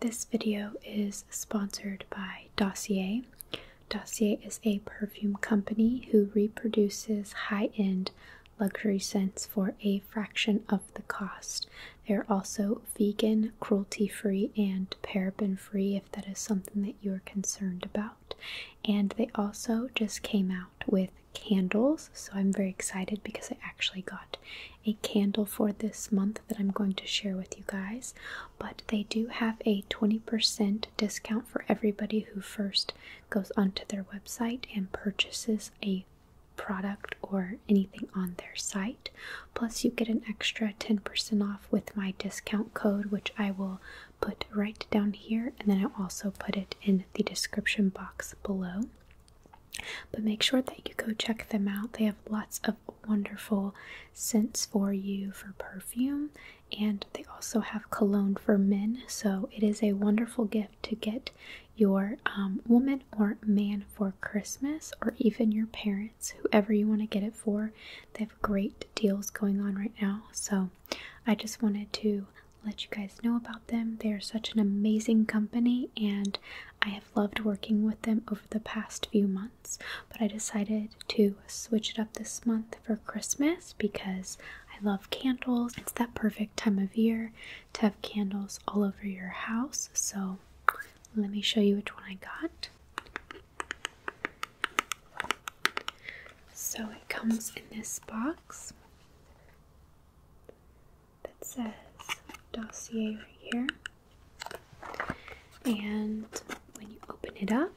This video is sponsored by Dossier. Dossier is a perfume company who reproduces high end luxury scents for a fraction of the cost. They're also vegan, cruelty free, and paraben free if that is something that you're concerned about. And they also just came out with candles, so I'm very excited because I actually got a candle for this month that I'm going to share with you guys, but they do have a 20% discount for everybody who first goes onto their website and purchases a product or anything on their site. Plus, you get an extra 10% off with my discount code, which I will put right down here, and then I'll also put it in the description box below. But make sure that you go check them out. They have lots of wonderful scents for you for perfume, and they also have cologne for men. So it is a wonderful gift to get your um, woman or man for Christmas, or even your parents, whoever you want to get it for. They have great deals going on right now. So I just wanted to let you guys know about them. They are such an amazing company, and I have loved working with them over the past few months, but I decided to switch it up this month for Christmas because I love candles. It's that perfect time of year to have candles all over your house. So let me show you which one I got. So it comes in this box that says dossier right here. And when you open it up,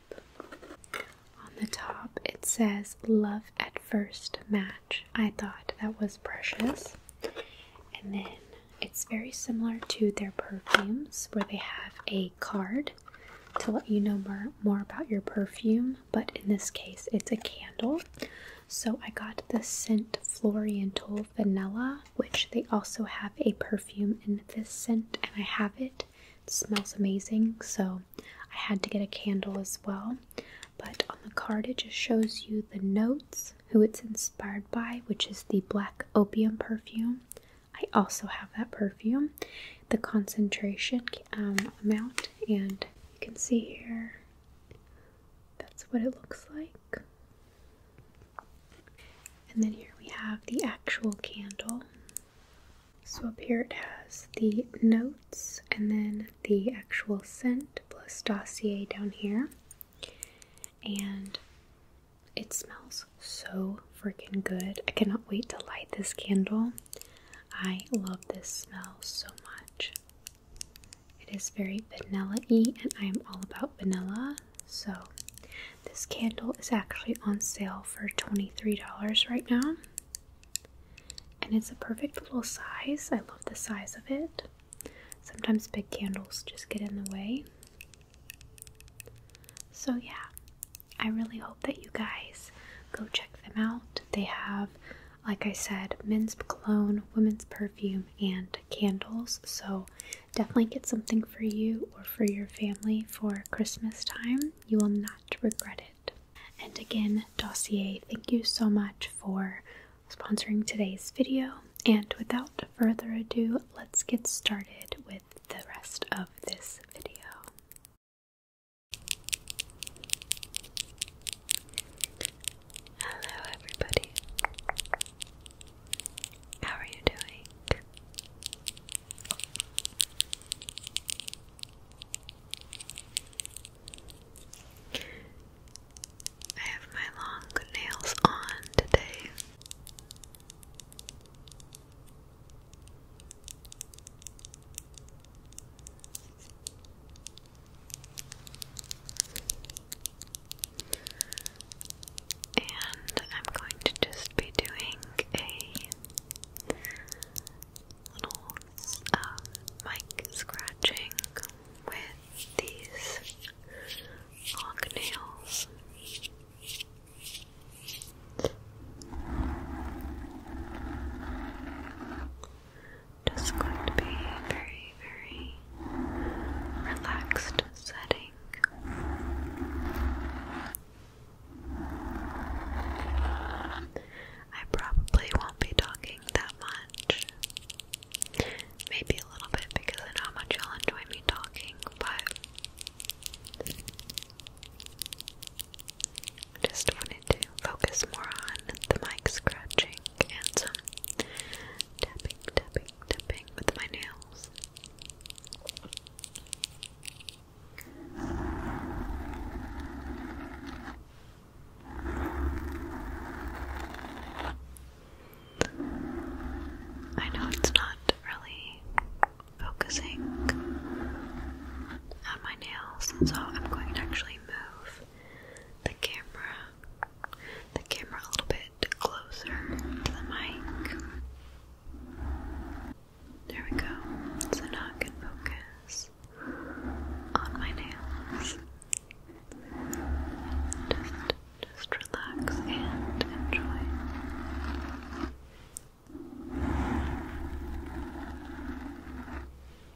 on the top it says love at first match. I thought that was precious. And then it's very similar to their perfumes where they have a card to let you know more, more about your perfume, but in this case, it's a candle. So I got the scent Floriental Vanilla, which they also have a perfume in this scent, and I have it. smells amazing, so I had to get a candle as well. But on the card, it just shows you the notes, who it's inspired by, which is the Black Opium perfume. I also have that perfume, the concentration um, amount, and you can see here that's what it looks like. And then here we have the actual candle. So up here it has the notes and then the actual scent plus dossier down here. And it smells so freaking good. I cannot wait to light this candle. I love this smell so much. It is very vanilla y, and I am all about vanilla. So, this candle is actually on sale for $23 right now. And it's a perfect little size. I love the size of it. Sometimes big candles just get in the way. So, yeah, I really hope that you guys go check them out. They have like I said, men's cologne, women's perfume, and candles. So definitely get something for you or for your family for Christmas time. You will not regret it. And again, Dossier, thank you so much for sponsoring today's video. And without further ado, let's get started with the rest of this video. Hello, everybody. How are you doing? I have my long nails on today. And I'm going to just be doing a little uh, mic scratching with these long nails just going to be a very, very relaxed setting. I probably won't be talking that much. Maybe a little bit because I know how much you'll enjoy me talking, but just wanted to focus more on the mic scratching and some tapping, tapping, tapping with my nails. I know it's not really focusing on my nails, so I'm going to actually move the camera the camera a little bit closer to the mic. There we go. So now I focus on my nails. Just, just relax and enjoy.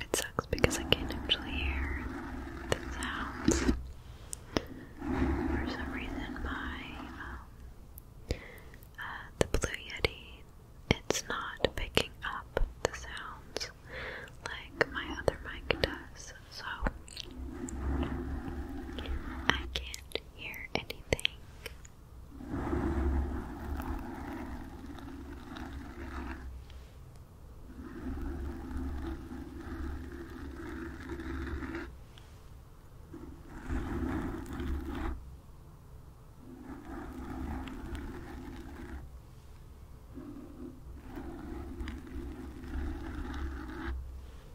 It sucks because I can't actually hear the sounds. For some reason, my um, uh, the Blue Yeti, it's not picking up the sounds like my other mic does so I can't hear anything.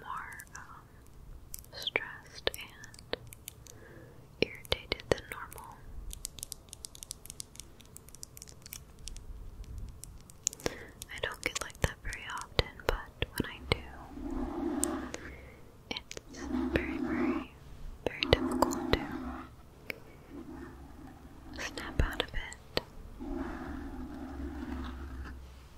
more um, stressed and irritated than normal. I don't get like that very often, but when I do, it's very, very, very difficult to snap out of it.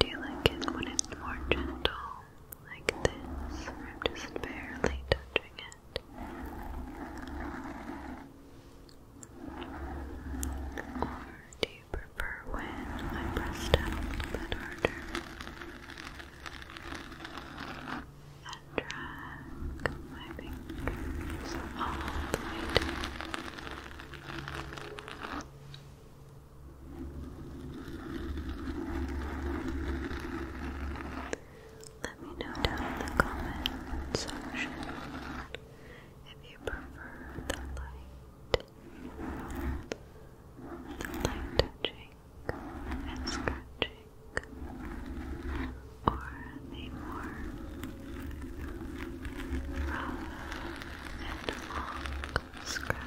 Do you like it when it's more gentle, like this, I'm just barely touching it? Or do you you prefer when I press down a little bit harder and drag my fingers all the way down? Let me know down in the comment section if you prefer the light, the light touching and scratching, or the more rough and long scratches.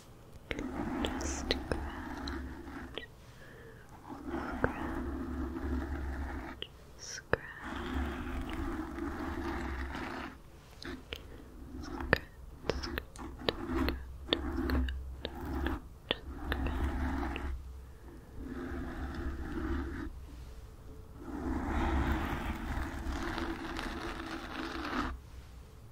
Just scratch, scratch, scratch, scratch, scratch, scratch, scratch. Good.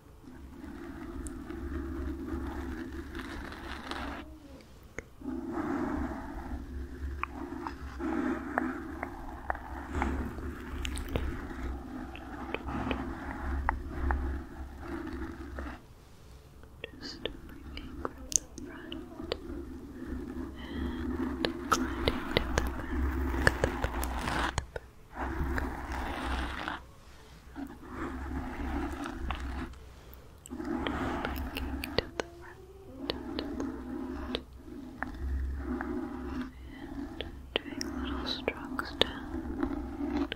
Just bringing from the front and gliding down the back, the the back. Bringing to the front, to the front. And doing little strokes down. Good.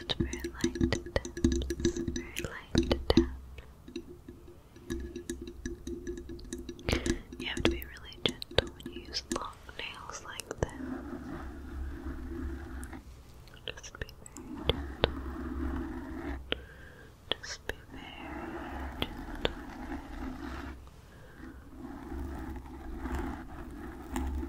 just very light taps, very light taps. You have to be really gentle when you use long nails like this. Just be very gentle. Just be very gentle.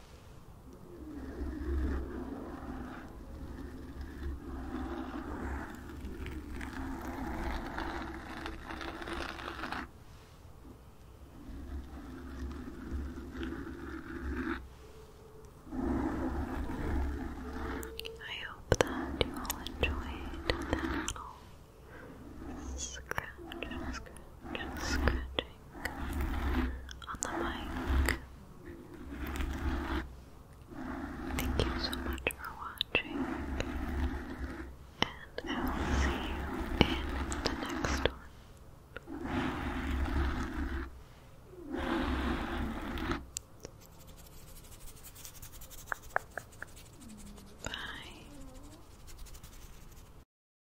I hope that you all enjoyed that little scratch, on the mic. Thank you so much for watching, and I will see you in the next one. Bye.